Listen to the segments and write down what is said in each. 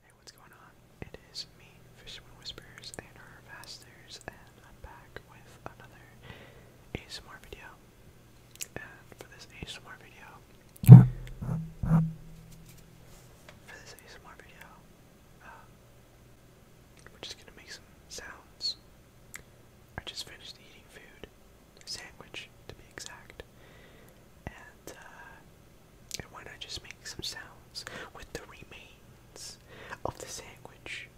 Hey, what's going on? It is me, Fisherman Whispers, and our Vasters, and I'm back with another ASMR video. And for this ASMR video, for this ASMR video, um, we're just gonna make some sounds. I just finished eating food, sandwich to be exact. And uh, and why not just make some sounds with the remains of the sandwich,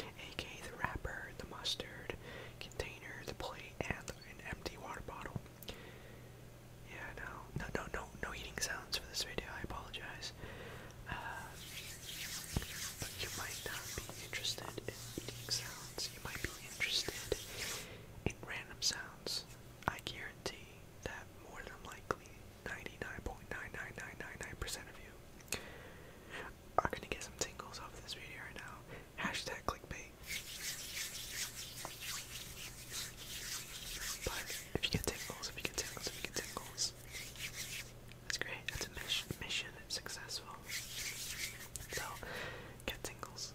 aka the wrapper, the mustard container, the plate, and an empty water bottle. Yeah, no, no, no, no, no eating sounds for this video. I apologize. Uh, but you might not be interested in eating sounds you might be interested in random sounds. I guarantee that more than likely 99.99999% of you are gonna get some tingles off this video right now. Hashtag clickbait. if you get tingles, if you get tingles, if you get tingles, that's great. That's a mission, mission successful. So, get tingles.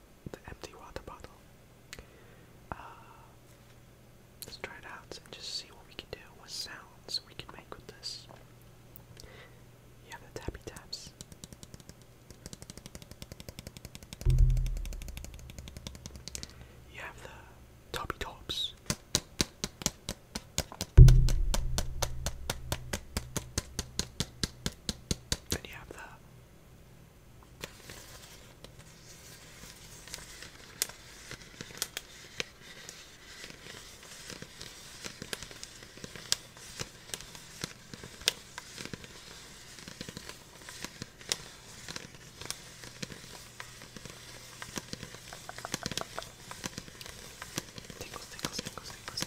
the empty water bottle. Uh, let's try it out and just see what we can do, what sounds we can make with this. You have the tappy taps. You have the toppy tops. And you have the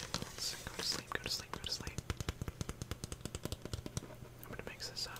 Tickles, tickles, tickles, tickles, tickles. Go to sleep, go to sleep, go to sleep. I'm gonna mix this up.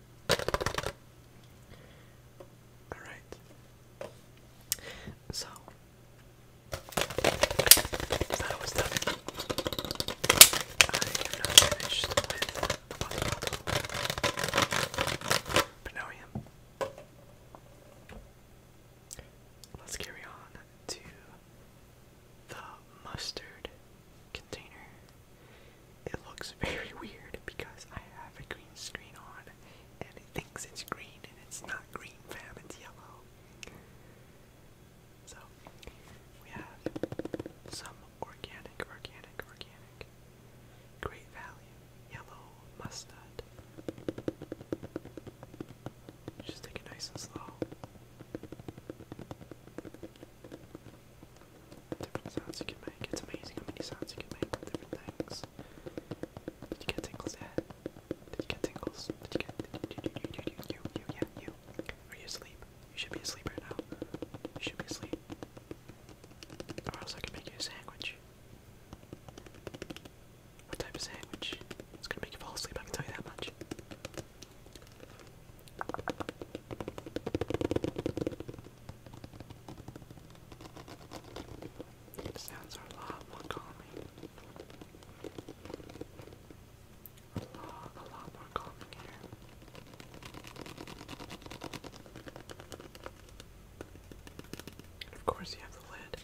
Alright. So that was done. I am not finished the bottle. But now I am. Let's carry on to the mustard container. It looks very weird because I have a green screen on and it thinks it's green and it's not green, fam, it's yellow. So, we have some organic, organic, organic. Great value. Yellow mustard. Just take it nice and slow different sounds you can make. It's amazing how many sounds you can make different things. Did you get tingles yet? Did you get tingles? Did you get did you, you, you, you, you, you, yeah, you. Are you asleep? You should be asleep right now. You should be asleep. Or else I can make you a sandwich. What type of sandwich? It's gonna make you fall asleep, I can tell you that much. The sounds are a lot more calming. A lot, a lot more calming here. of course, you have the lid.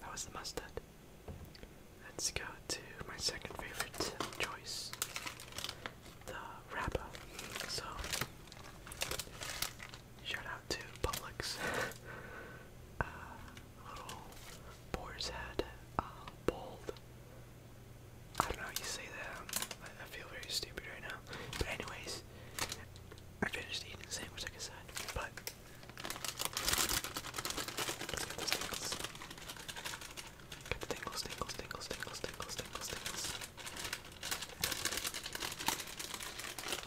That was the mustard. Let's go to my second favorite choice, the wrapper. So Shout out to Publix. Uh, little boar's head, uh, bold. I don't know how you say that. I, feel very stupid right now. But anyways, I finished eating the sandwich like I said. But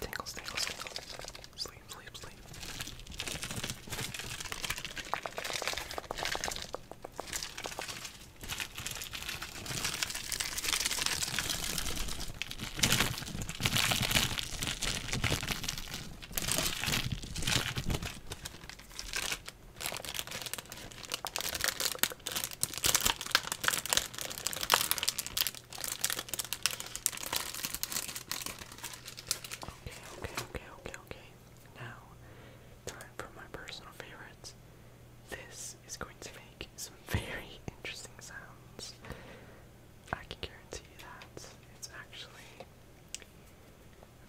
Tingles, tingles, tingles. Sleep, sleep, sleep okay, okay, okay, okay. Now, time for my personal favorites. This is going to make some very interesting sounds. I can guarantee that. It's actually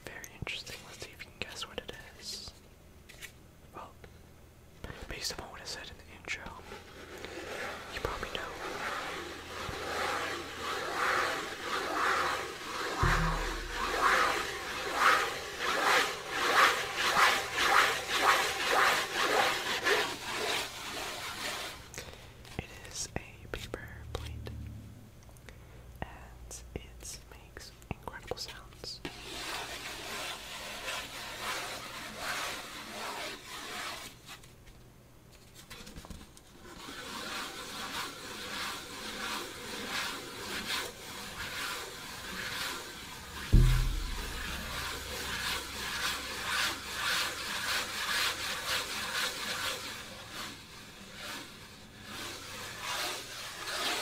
very interesting. Let's see if you can guess what it is. Well, based upon what I said in the intro, you probably know. It is a paper plate, and it's made makes incredible sounds.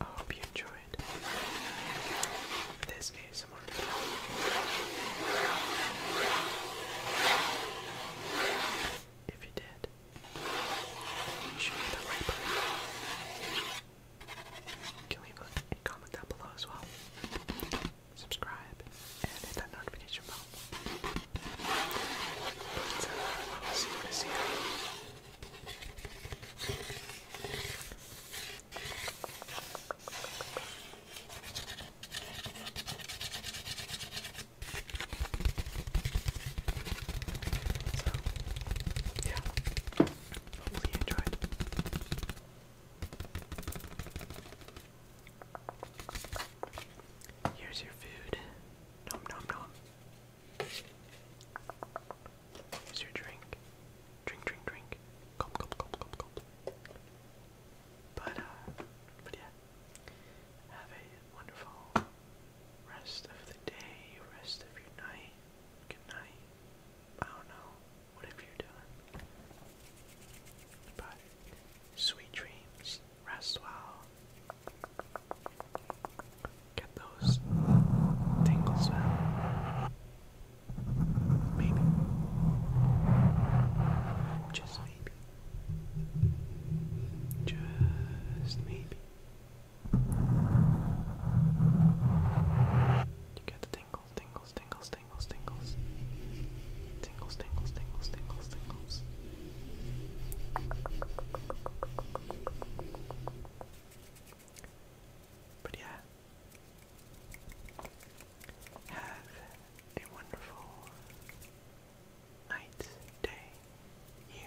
I hope you enjoyed this ASMR video. If you did, you should the right button. can leave comment down below as well subscribe, and hit that notification bell. So, yeah, hopefully you enjoyed. Here's your food. Nom nom nom. Here's your drink. Drink, drink, drink. Gulp, gulp, gulp, gulp, gulp. But, uh, but yeah. Have a wonderful rest of the day, rest of your night. Good night. I don't know. Whatever you're But, sweet dreams rest well. Get those tingles Maybe. Just maybe. Just maybe. You get the tingles, tingles, tingles, tingles, tingles tingles, tingles, But yeah, have a wonderful night, day, year.